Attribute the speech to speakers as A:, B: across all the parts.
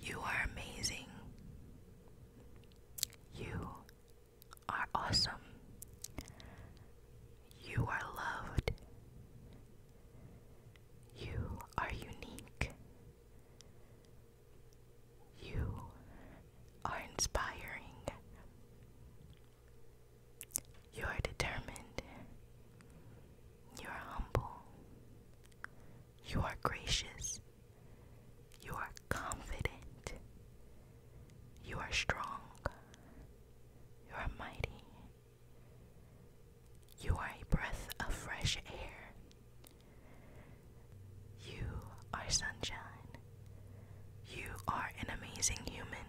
A: You are amazing. You are awesome. You are loved. You are unique. You are inspiring. You are determined. You are humble. You are gracious. You are confident. You are strong. You are mighty. You are a breath of fresh air. You are sunshine. You are an amazing human.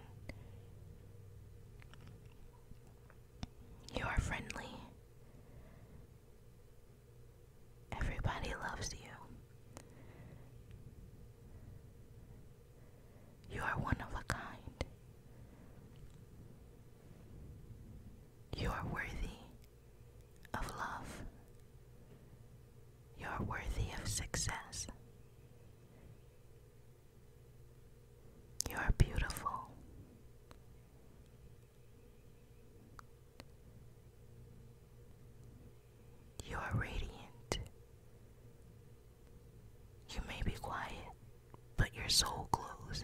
A: You are friendly. Everybody loves you. You are one of a kind. You are worthy of love. You are worthy of success. You are beautiful. You are radiant. You may be quiet, but your soul glows.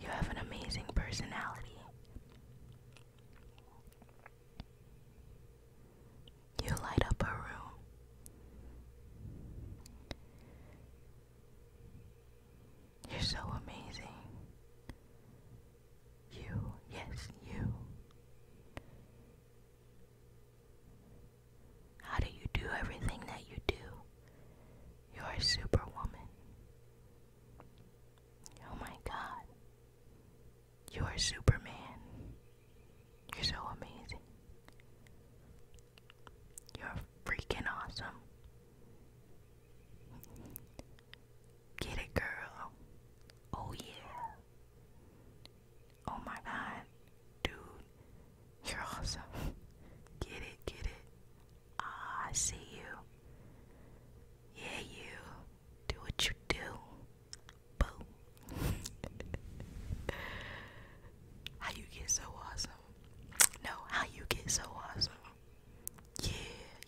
A: You have an amazing personality. You light up a room. You're so amazing. You, yes, you. How do you do everything that you do? You're a superwoman. Oh my god. You are Superman. You're so amazing. You're freaking awesome. Get it, girl. Oh, yeah. Oh, my God. Dude, you're awesome. Get it, get it. Ah, I see you. Yeah, you. Do what you do. how you get so awesome? No, how you get so awesome? Yeah,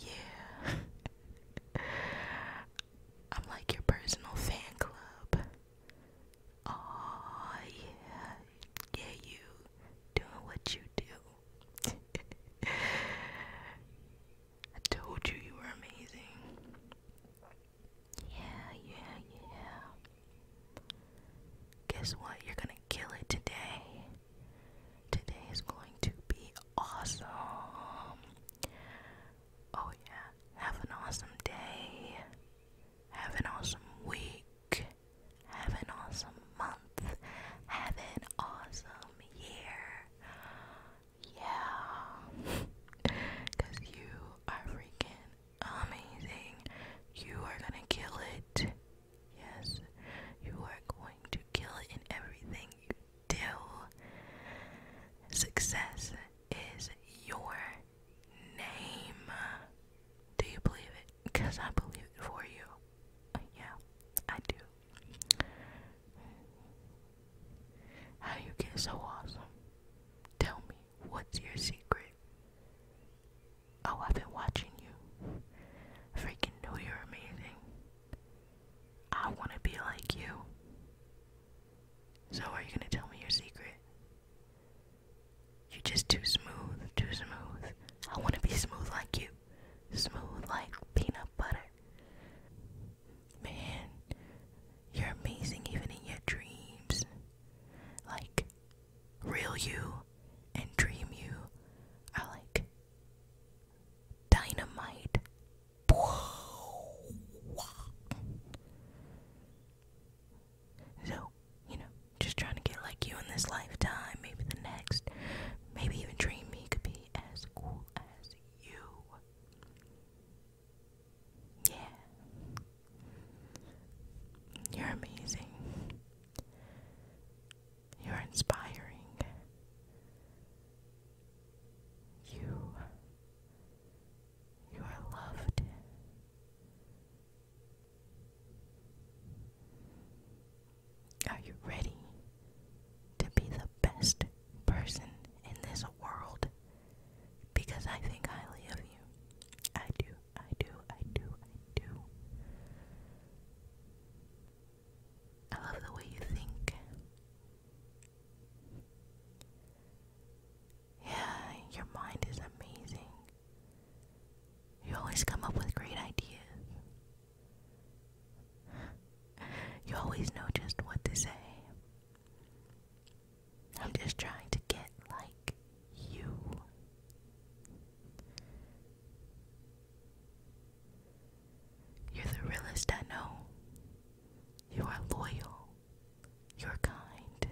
A: yeah. I'm like your personal fan club. Oh yeah, yeah, you doing what you do. I told you you were amazing. Yeah, yeah, yeah. Guess what? You're gonna kill it today. Today is going to be awesome. Oh, yeah. Have an awesome day. Have an awesome week. Have an awesome month. Have an awesome year yeah, because you are freaking amazing. You are gonna kill it. Yes, you are going to kill it in everything you do. Success is your name. Do you believe it? Because I believe it for you. yeah, I do. How you get so awesome? Tell me, what's your secret? Oh, I've been watching you. Freaking know you're amazing. I want to be like you. So, are you going to tell me your secret? You're just too smooth, too smooth. I want to be smooth like you smooth like peanut butter. Man, you're amazing even in your dreams. Like, real you and dream you are like dynamite. So, you know, just trying to get like you in this lifetime, maybe the next, maybe even dream me could be as cool as you. Yeah. You're amazing. You're inspiring. You you are loved. Are you ready to be the best person in this world? Because I think highly of you. I do, I do, I do, I do. I love the way you think. Yeah, your mind is amazing. You always come up with great ideas you always know just what to say. I'm just trying to get like you. You're the realest I know. You are loyal. You're kind.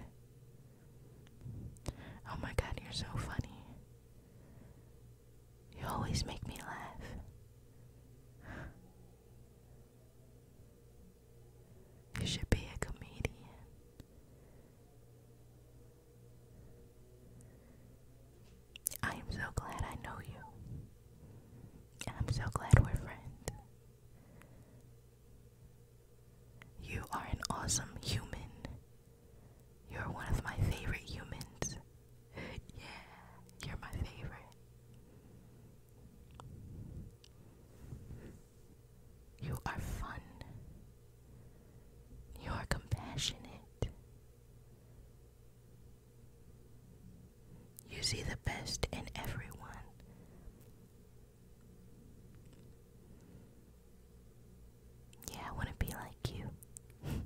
A: Oh my god, you're so funny. You always make me laugh. You should be a comedian. I am so glad I know you. I'm so glad we're friends. You are an awesome human. You're one of my favorite humans. Yeah, you're my favorite. You are fun. You are compassionate. You see the best in everyone. Yeah, I want to be like you.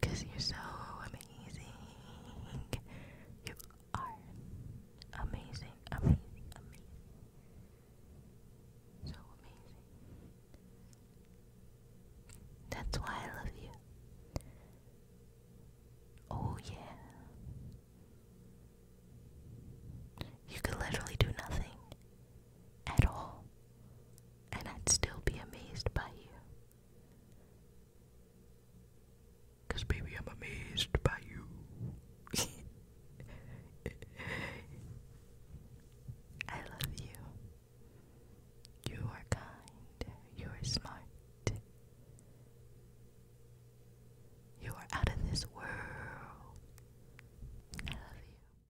A: Cause you're so amazing. You are amazing, amazing, amazing. So amazing. That's why I love you. Oh, yeah. You could literally do nothing at all, and I'd still be amazed by you. baby, I'm amazed by you. I love you. You are kind. You are smart. You are out of this world. I love you.